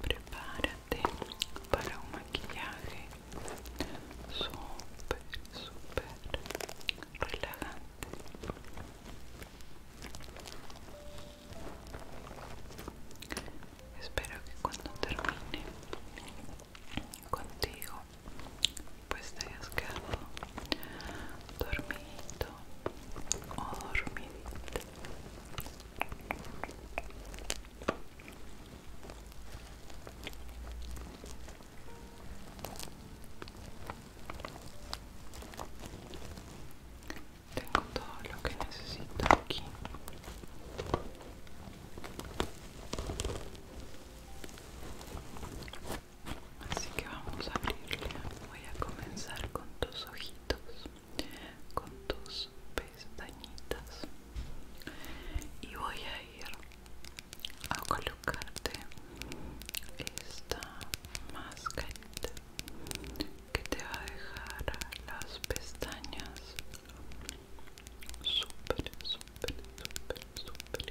Prepárate para un maquillaje súper, súper relajante. Espero que cuando termine contigo, pues te hayas quedado dormido o tengo todo lo que necesito aquí. Así que vamos a abrirle. Voy a comenzar con tus ojitos, con tus pestañitas. Y voy a ir a colocarte esta máscara que te va a dejar las pestañas super super super super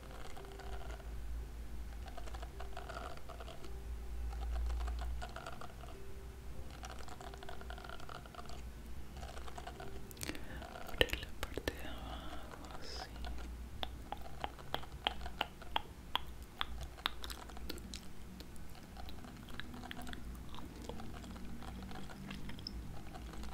Abre la parte de abajo así.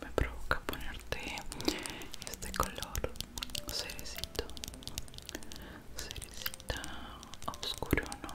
me provoca ponerte este color cerecito cerecita oscuro no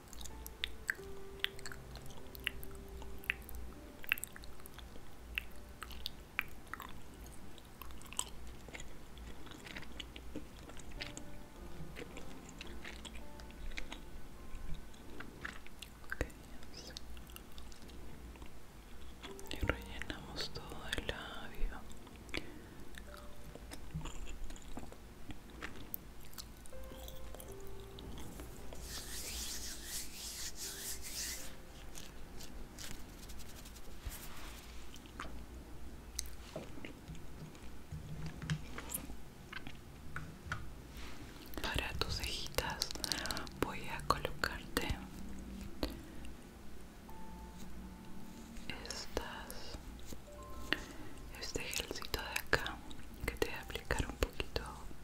Y rellenamos todo el labio. Para tus cejitas voy a colocarte estas este gelcito de acá que te voy a aplicar un poquito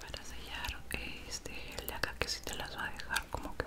Para sellar este gel de acá que si te las va a dejar como que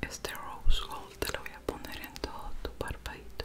Este rose gold te lo voy a poner en todo tu parpadito.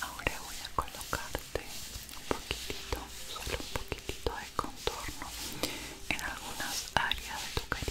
Ahora voy a colocarte un poquitito, solo un poquitito de contorno en algunas áreas de tu carita.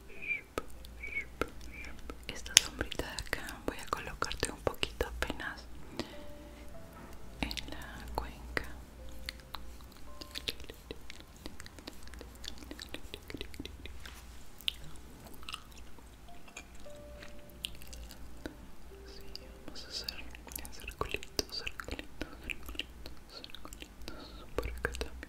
esta sombrita de acá voy a colocarte un poquito apenas en la cuenca Sí, vamos a hacer circulitos, circulito por acá también.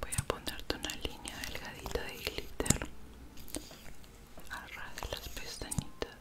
Voy a ponerte una línea delgadita de glitter a de las pestañitas.